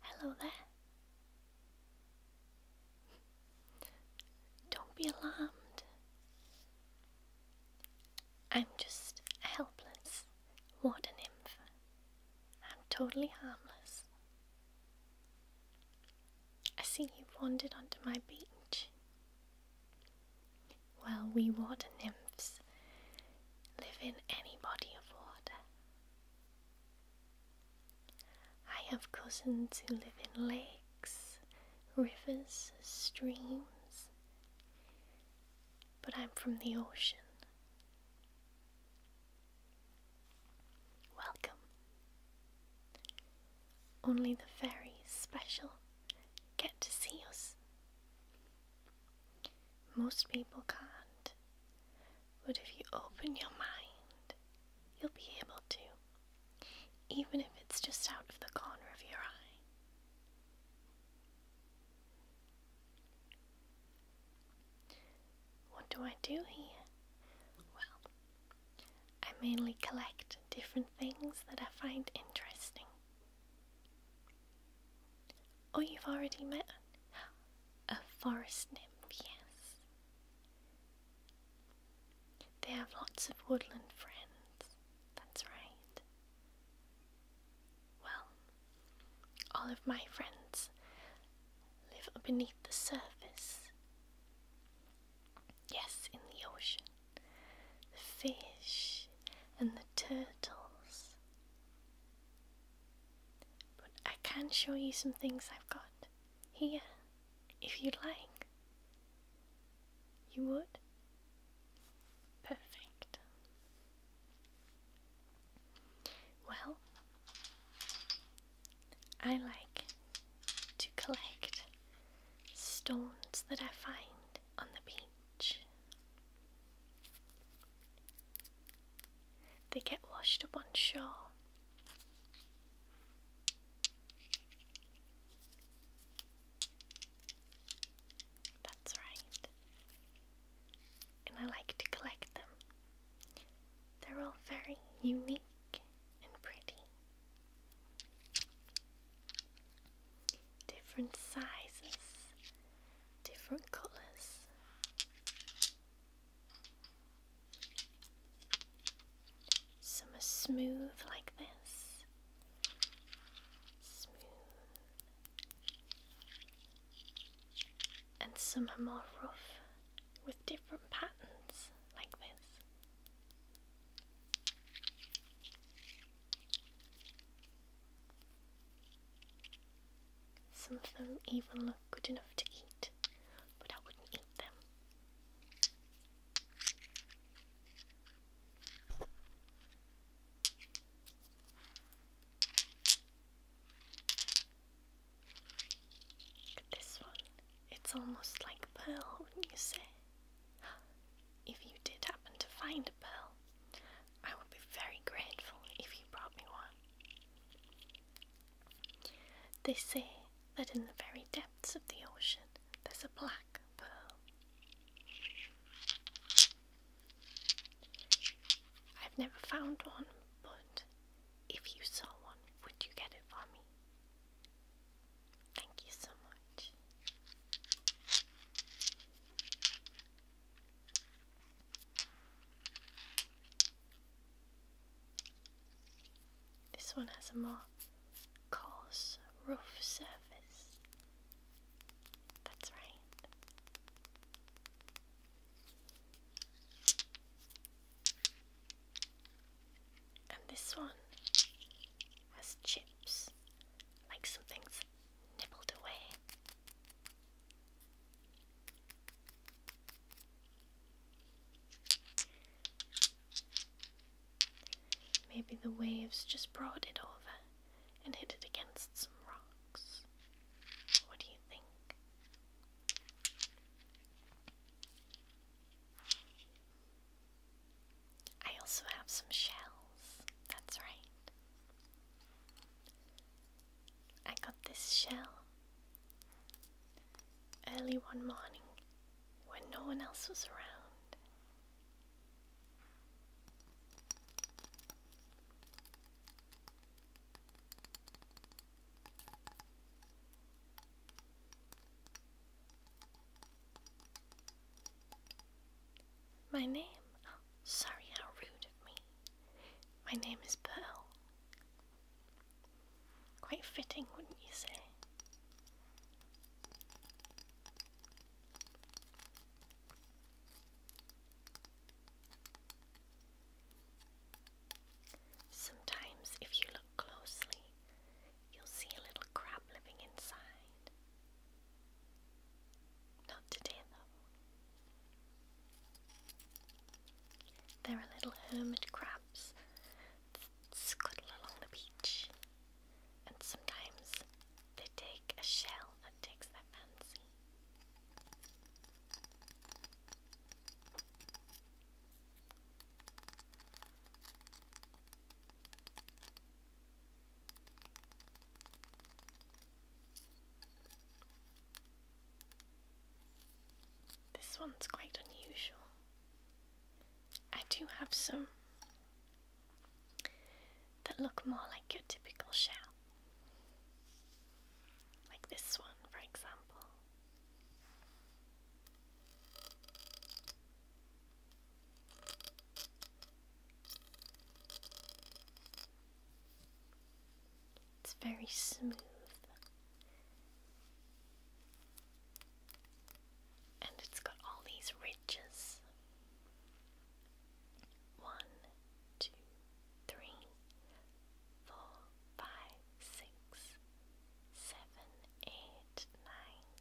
Hello there. Don't be alarmed. I'm just a helpless a nymph. I'm totally harmless. I see you've wandered onto my beach. Well, we water nymphs live in any body of water. I have cousins who live in lakes, rivers, streams, but I'm from the ocean. Welcome. Only the very special get to see us. Most people can't, but if you open your mind, you'll be able to, even if it's just out of the corner of your eye. What do I do here? Well, I mainly collect different things that I find interesting. Oh, you've already met a forest nymph, yes. They have lots of woodland friends, that's right. Well, all of my friends live beneath the surface. Yes, in the ocean. The fish and the turtles. But I can show you some things I've got here, if you'd like. You would? Perfect. Well, I like to collect stones that I find on the beach. They get washed up on shore. That's right. And I like to collect them. They're all very unique and pretty different sizes, different colors. Some are smooth like this, smooth, and some are more rough with different patterns like this. Some of them even look good enough to eat, but I wouldn't eat them. Look at this one. It's almost like pearl, wouldn't you say? If you did happen to find a pearl, I would be very grateful if you brought me one. They say that in the very depths of the ocean there's a black pearl. I've never found one, but if you saw one, would you get it for me? Thank you so much. This one has a more coarse rough surface. That's right. And this one has chips, like something's nibbled away. Maybe the waves just brought it over and hit it against some rocks. What do you think? I also have some shells. That's right. I got this shell early one morning when no one else was around. My name? Oh, sorry, how rude of me. My name is Pearl. Quite fitting, wouldn't you say? Sometimes, if you look closely, you'll see a little crab living inside. Not today, though. There are little hermit crabs that scuttle along the beach, and sometimes they take a shell that takes their fancy. This one's quite unusual. I do have some that look more like your typical shell. Like this one, for example. It's very smooth. And it's got all these ridges. One, two, three, four, five, six, seven, eight, nine,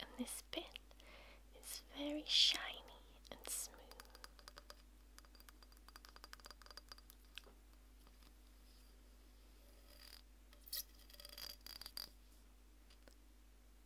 And this bit is very shiny and smooth.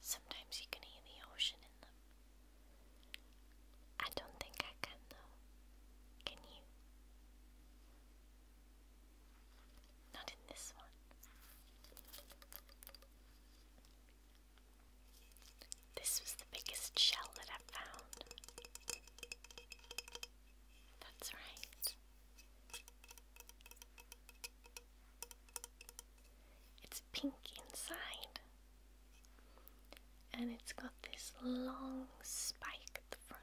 Sometimes you can hear the ocean in them. I don't think I can though. Can you? Not in this one. This was the biggest shell that i found. That's right. It's pink inside. And it's got this long spike at the front.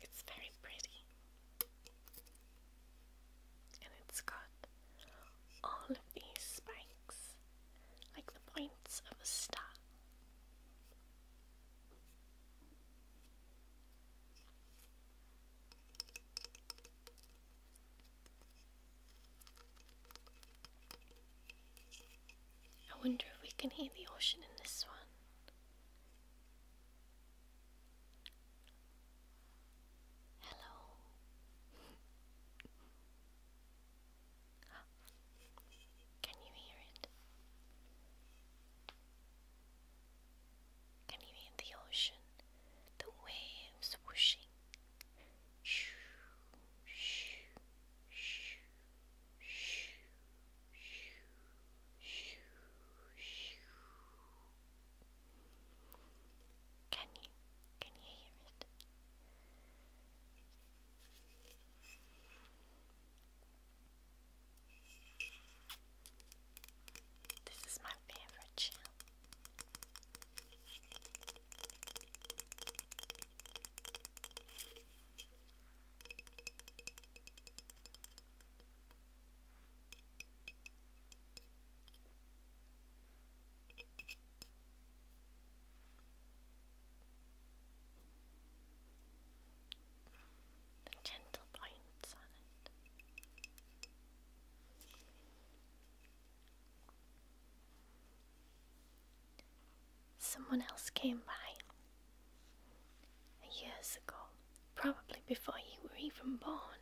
It's very pretty. And it's got all of these spikes, like the points of a star. I wonder if we can hear the ocean in this one. Hello. Can you hear it? Can you hear the ocean? The waves whooshing. Shoo, shoo, shoo, shoo, can you can you hear it? This is my favorite the gentle points on it. Someone else came by Years ago, probably before you were even born,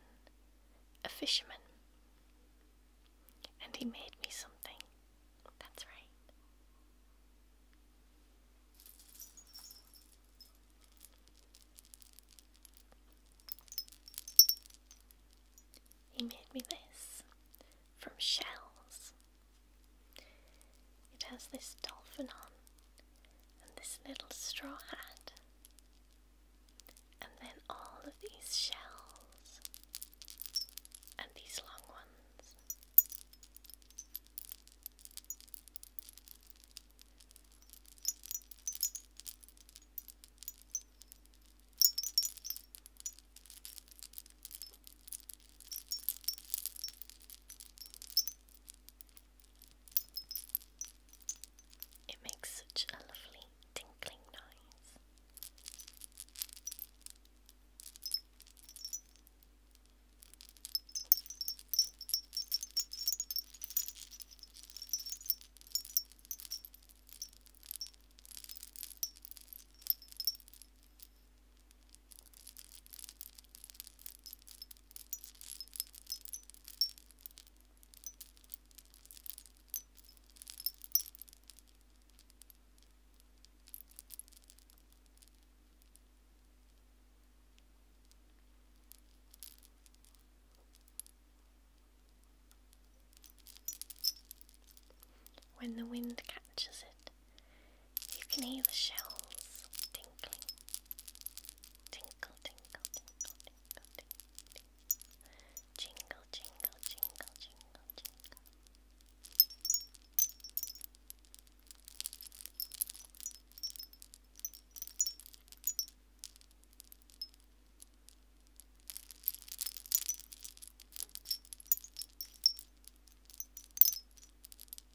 a fisherman. And he made me something. That's right. He made me this from shells. It has this dolphin on, and this little straw hat, and then all of these shells, and these long ones. It makes such a lovely tinkling noise. When the wind catches it, you can hear the shells tinkling. Tinkle, tinkle, tinkle, tinkle, tinkle. Jingle, jingle, jingle, jingle, jingle.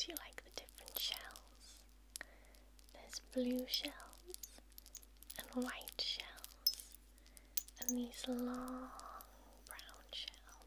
Do you like the different shells? There's blue shells and white shells and these long brown shells.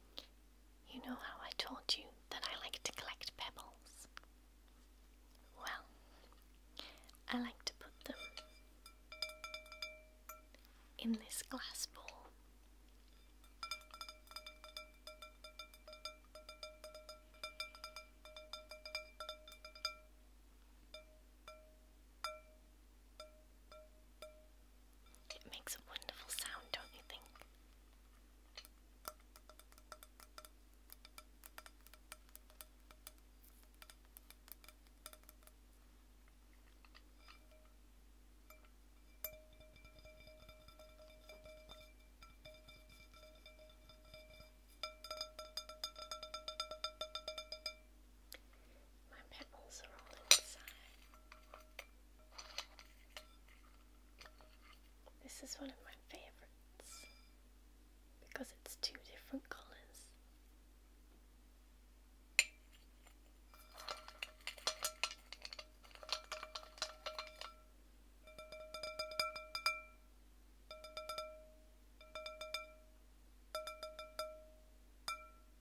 You know how I told you that I like to collect pebbles? Well, I like to put them in this glass bowl. It makes a wonderful sound, don't you think? My petals are all inside. This is one of my favorites because it's two different colours.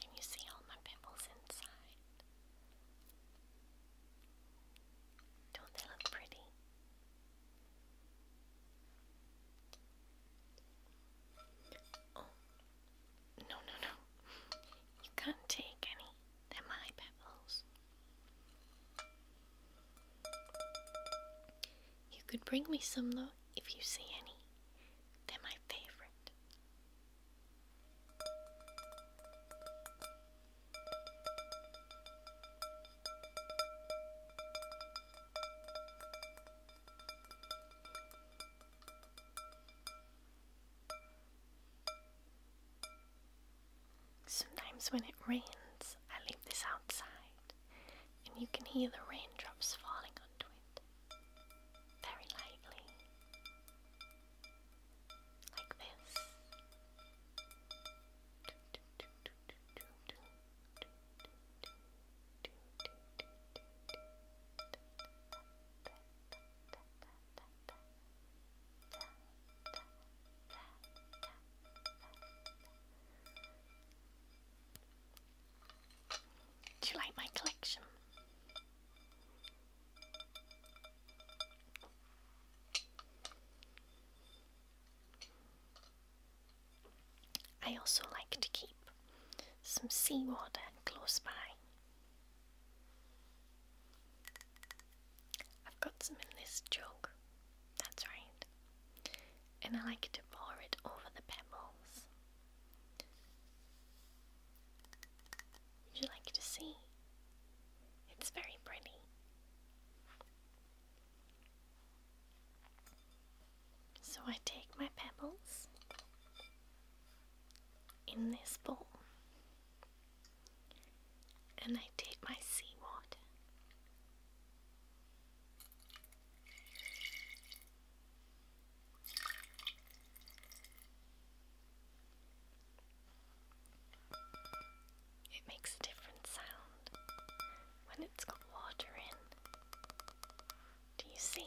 Can you see all my pimples inside? Don't they look pretty? Oh, no, no, no. You can't take any. they my pebbles. You could bring me some, though if you see any. They're my favorite. Sometimes when it rains, I leave this outside and you can hear the raindrops falling onto it very lightly, like this. Do you like my collection? I also like to keep some seawater close by. I've got some in this jug, that's right, and I like to pour it over the pebbles would you like to see? It's very pretty. So I take my pebbles in this bowl and I take my seawater it makes a different sound when it's got water in. Do you see?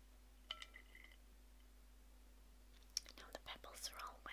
Now the pebbles are all wet.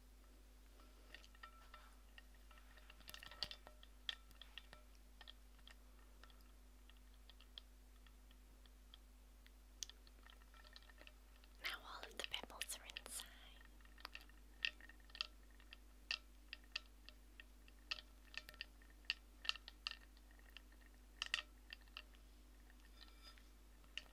Now all of the pebbles are inside.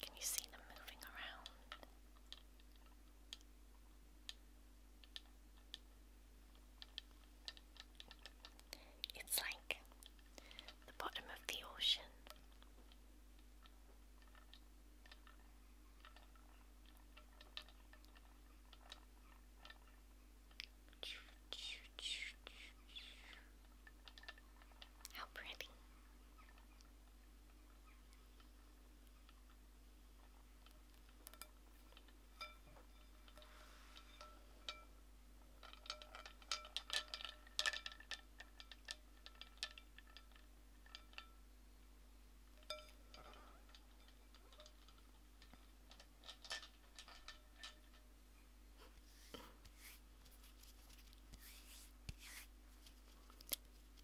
Can you see them moving around? It's like the bottom of the ocean. How pretty.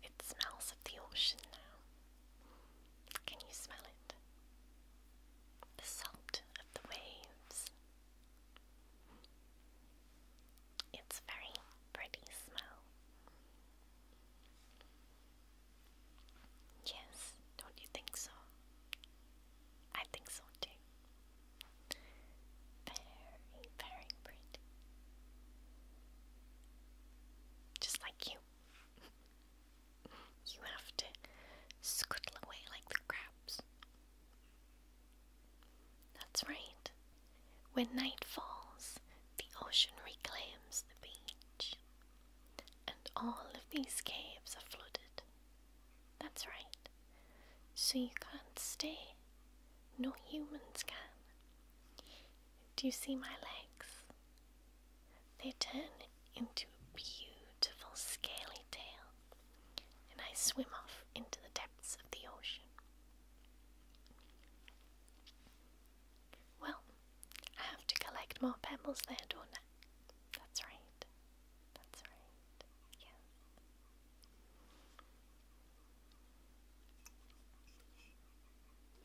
It smells of the ocean now. Can you smell it? The salt of the waves. It's very pretty smell. Yes, don't you think so? I think so too. Very, very pretty. Just like you. you have to scuttle away like the crabs. That's right. When night falls, the ocean reclaims the beach, and all of these caves are flooded. That's right. So you can't stay. No humans can. Do you see my legs? They turn into a beautiful scaly tail, and I swim off into the depths of the ocean. Well, I have to collect more pebbles there, do That's right. That's right. Yeah.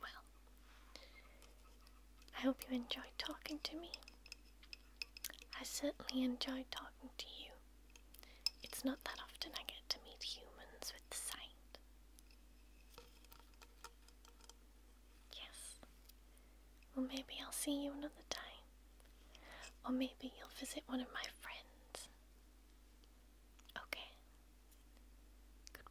Well, I hope you enjoyed talking to me. I certainly enjoyed talking to you. It's not that often I get to meet humans with sight, Yes. Well, maybe I'll see you another time. Or maybe you'll visit one of my friends. Okay. Goodbye.